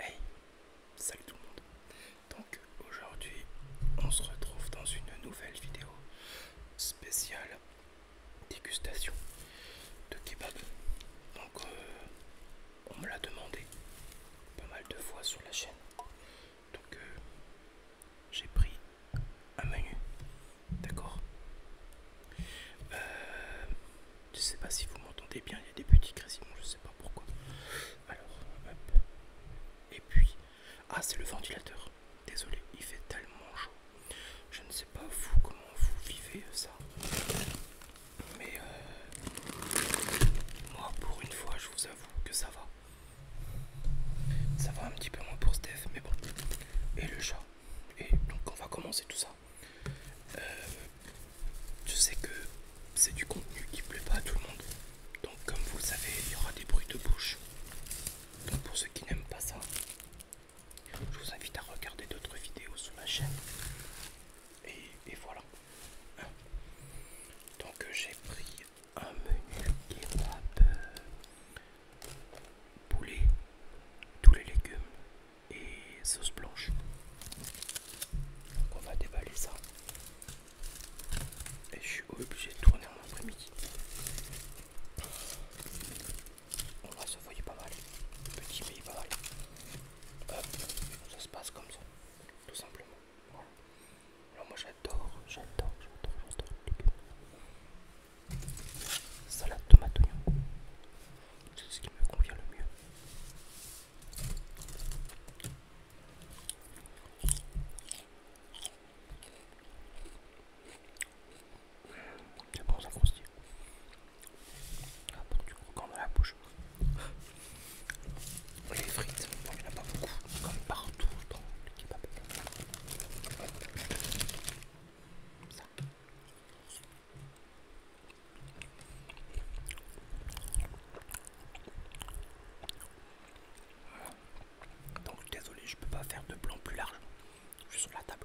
Hey, salut tout le monde. Donc aujourd'hui, on se retrouve dans une nouvelle vidéo spéciale dégustation de kebab. Donc euh, on me l'a demandé pas mal de fois sur la chaîne. Donc euh, j'ai pris un menu, d'accord. Euh, je sais pas si vous m'entendez bien, il y a des petits grésillements, je sais pas pourquoi. Alors, hop. Et puis, ah, c'est le ventilateur. Désolé, il fait tellement chaud. Je ne sais pas vous comment vous vivez euh, ça. Mais euh, moi, pour une fois, je vous avoue que ça va. Ça va un petit peu moins pour Steph, mais bon. Et le chat. Et donc, on va commencer tout ça. Euh, je sais que c'est du contenu qui plaît pas à tout le monde. Donc comme vous le savez, il y aura des bruits de bouche. Donc pour ceux qui n'aiment pas ça, je vous invite à regarder d'autres vidéos sur ma chaîne. Et, voilà. Hein. Donc j'ai pris un menu kebab euh, poulet, tous les légumes, et sauce blanche. on va déballer ça. Et je suis obligé de tourner en après-midi. On va se voyer pas mal. Petit mais pas mal. Hop, ça se passe comme ça. Tout simplement. Alors moi j'adore, j'adore, j'adore, j'adore Salade tomate oignon. C'est ce qui me convient le mieux. C'est bon, ça croustille. Ah, pour du coup, quand dans la bouche. Les frites, il n'y en a pas beaucoup, Il y en a quand même partout dans le kebab. Ça. Donc désolé, je peux pas faire de plan plus large. sur la table.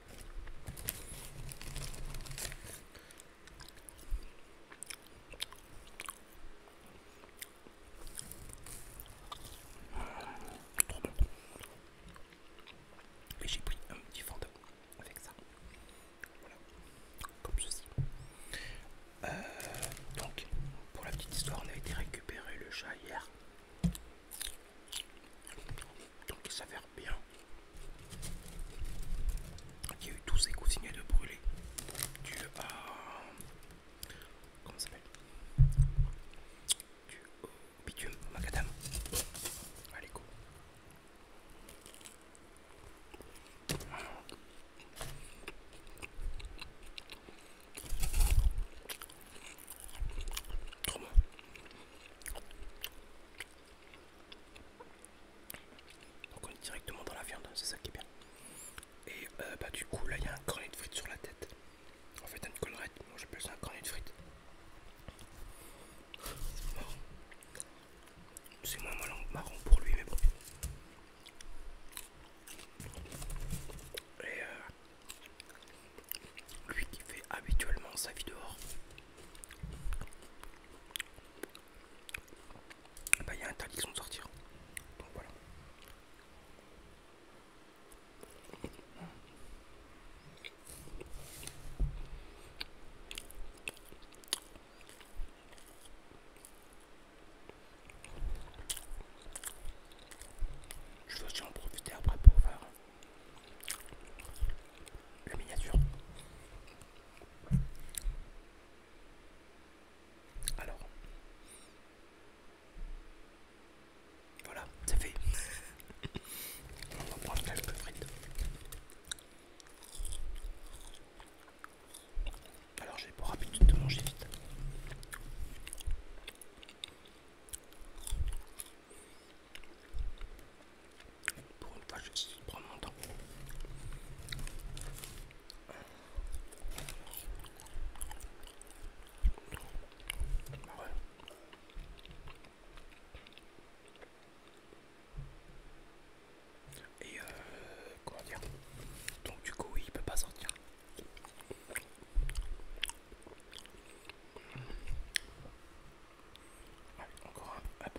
trop Et j'ai pris un petit fantôme avec ça. Voilà, comme ceci. Euh, donc, pour la petite histoire, on a été récupérer le chat hier. Donc, il s'avère bien qu'il y a eu tous ces coussinets de brûler dû Comment ça s'appelle Du bitume, magadam Allez, go. Trop Donc on est directement dans la viande, hein, c'est ça qui est bien. Et euh, bah, du coup là il y a un cornet de frites sur la tête. En fait une collerette, moi j'appelle ça un cornet de frites. C'est moins marrant pour lui, mais bon. Et euh, lui qui fait habituellement sa vie dehors, bah, il y a qui sont sortir. Donc voilà. Je vais aussi en profiter après pour faire la miniature. Alors, voilà, c'est fait. On va prendre quelques frites. Alors j'ai pour habitude de manger vite. Pour une fois, je vais prendre mon temps. Et euh, comment dire Donc du coup il peut pas sortir. Allez, encore un. Hop.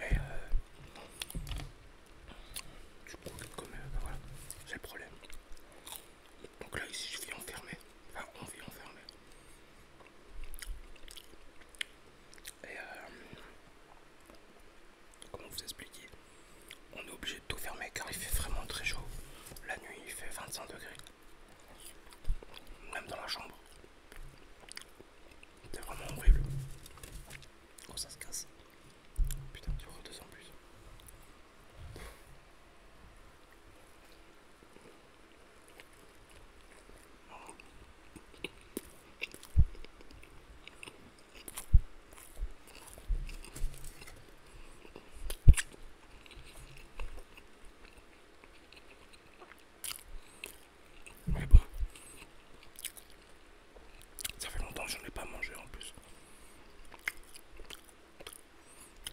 Et euh, du coup, comme euh, bah voilà, c'est le problème. Donc là, ici, je suis enfermé. Enfin, on vit enfermé. Et euh, comment vous expliquer On est obligé de tout fermer car il fait vraiment très chaud. La nuit, il fait 25 degrés même dans la chambre. c'est vraiment horrible. Quand oh, ça se casse. Putain, tu vois deux en plus. Mais bon, ça fait longtemps que je n'ai pas mangé en plus.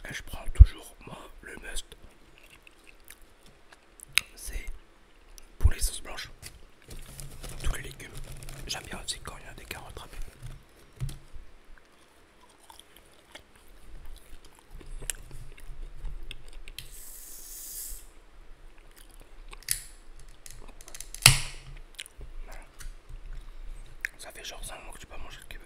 Et je prends toujours, moi, le must. C'est pour les sauces blanches. Tous les légumes. J'aime bien aussi quand il y a des carottes râpées. Ça fait genre un mois que tu pas manger le cube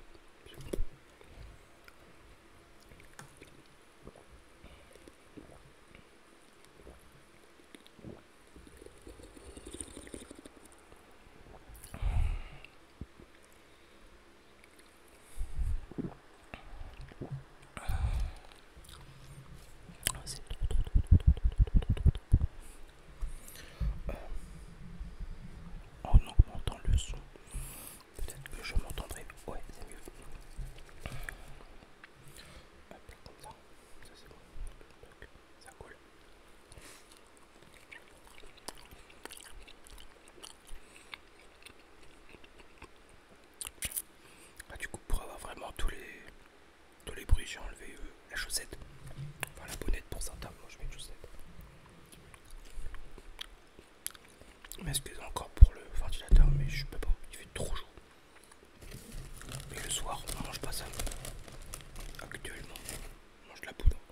en oh augmentant le son, peut-être que je m'entendrai. Ouais, c'est mieux. comme ça, ça c'est bon. Ça coule. Ah, du coup, pour avoir vraiment tous les, les bruits, j'ai enlevé euh, la chaussette. Enfin, la bonnette pour certains. Moi, je mets une chaussette. M'excuse encore pour le ventilateur, mais je peux pas. Il fait trop chaud. Et le soir, on mange pas ça. Actuellement, on mange de la poudre.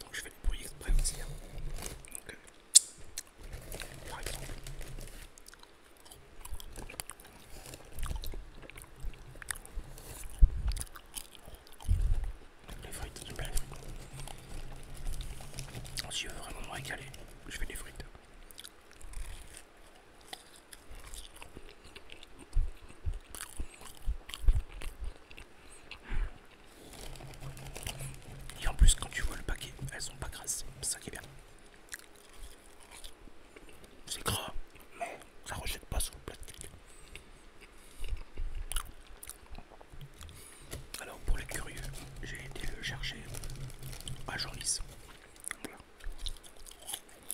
Donc je fais le bruit exprès aussi. Hein. Donc, euh, par exemple. Les frites, j'aime bien les frites. Si je veux vraiment me régaler, je fais des frites. Et en plus, quand tu vois le paquet, elles sont pas grasses, c'est ça qui est bien. C'est gras, mais ça rejette pas sur le plastique. Alors, pour les curieux, j'ai été le chercher à Jornis.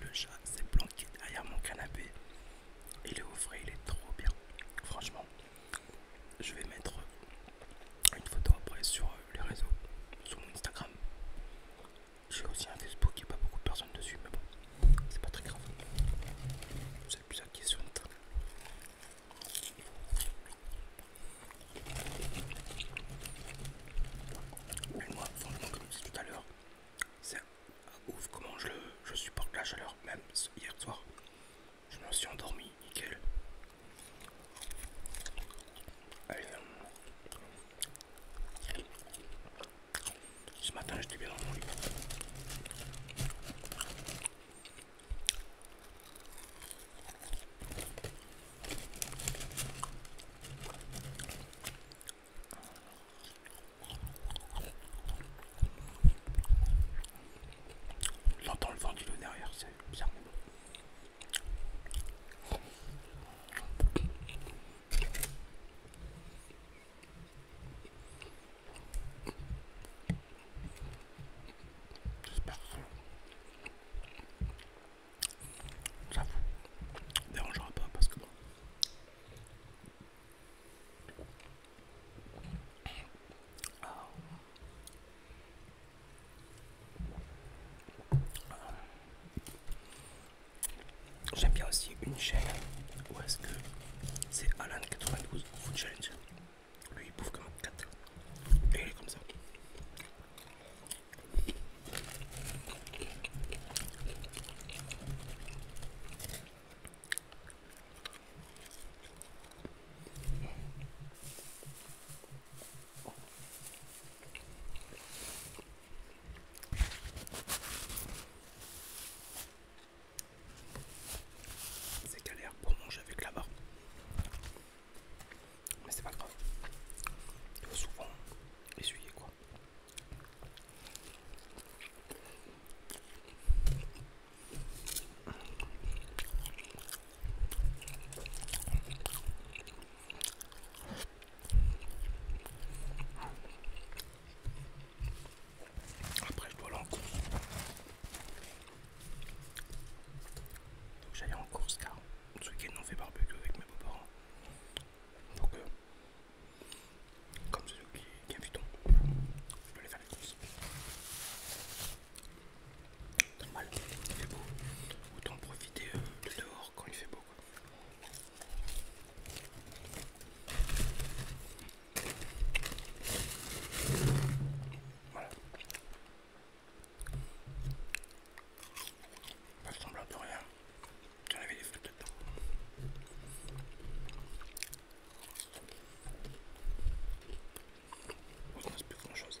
Le chat s'est planqué derrière mon canapé. Il est au frais, il est trop bien. Franchement, je vais mettre une photo après sur les réseaux, sur mon Instagram. J'ai aussi un Facebook, il n'y pas beaucoup de personnes dessus, mais bon, c'est pas très grave. C'est qui plus question. et moi, franchement, comme je tout à l'heure, c'est ouf comment je, je supporte la chaleur, même hier soir. Je me suis endormi, nickel. Allez, ce matin, j'étais bien dans mon lit. J'entends le vent du lot derrière, c'est bizarre J'espère que ça vous dérangera pas parce que ah. J'aime bien aussi une chaîne où est-ce que c'est Alan92 Food Challenge. Lui il bouffe comme un 4 et il est comme ça. C'est galère pour manger avec la barre. Mais c'est pas grave. Il faut souvent essuyer quoi. Après, je dois aller en course. Donc, j'allais en course car ce week-end, on fait barbecue avec mes beaux-parents. Donc, euh, comme ceux qui invitent je dois aller faire les courses. Normal, il fait beau. Autant profiter euh, de dehors quand il fait beau beaucoup. Voilà. Pas semblable de rien. J'en avais des fruits dedans. On ne plus grand chose.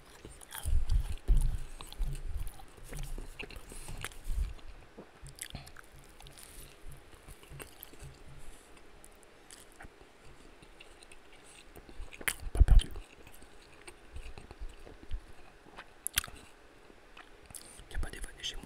Pas perdu. Il a pas d'évané chez moi.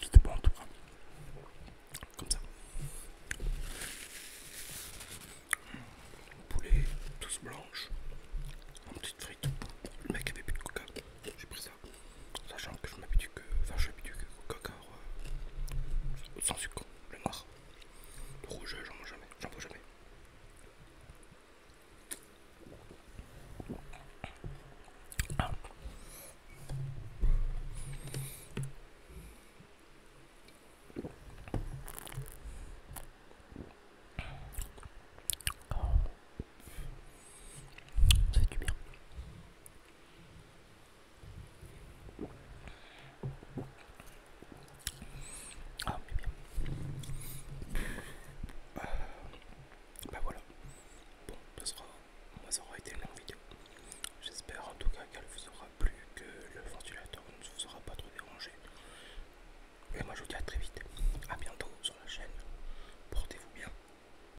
C'était bon en tout cas. Comme ça. Poulet, tous blanches, en petite frite. Le mec avait plus de coca. J'ai Sachant que je m'habitue que. Enfin, je m'habitue que au coca hein, euh, sans sucre, le noir. Le rouge, j'en mange jamais, j'en bois jamais. Ah. Ça fait du bien. Ah, mais bien. bah voilà. Bon, ça sera, ça aura été une longue vidéo. J'espère en tout cas qu'elle vous aura plu, que le ventilateur ne vous aura pas trop dérangé. Et moi je vous dis à très vite. à bientôt sur la chaîne. Portez-vous bien.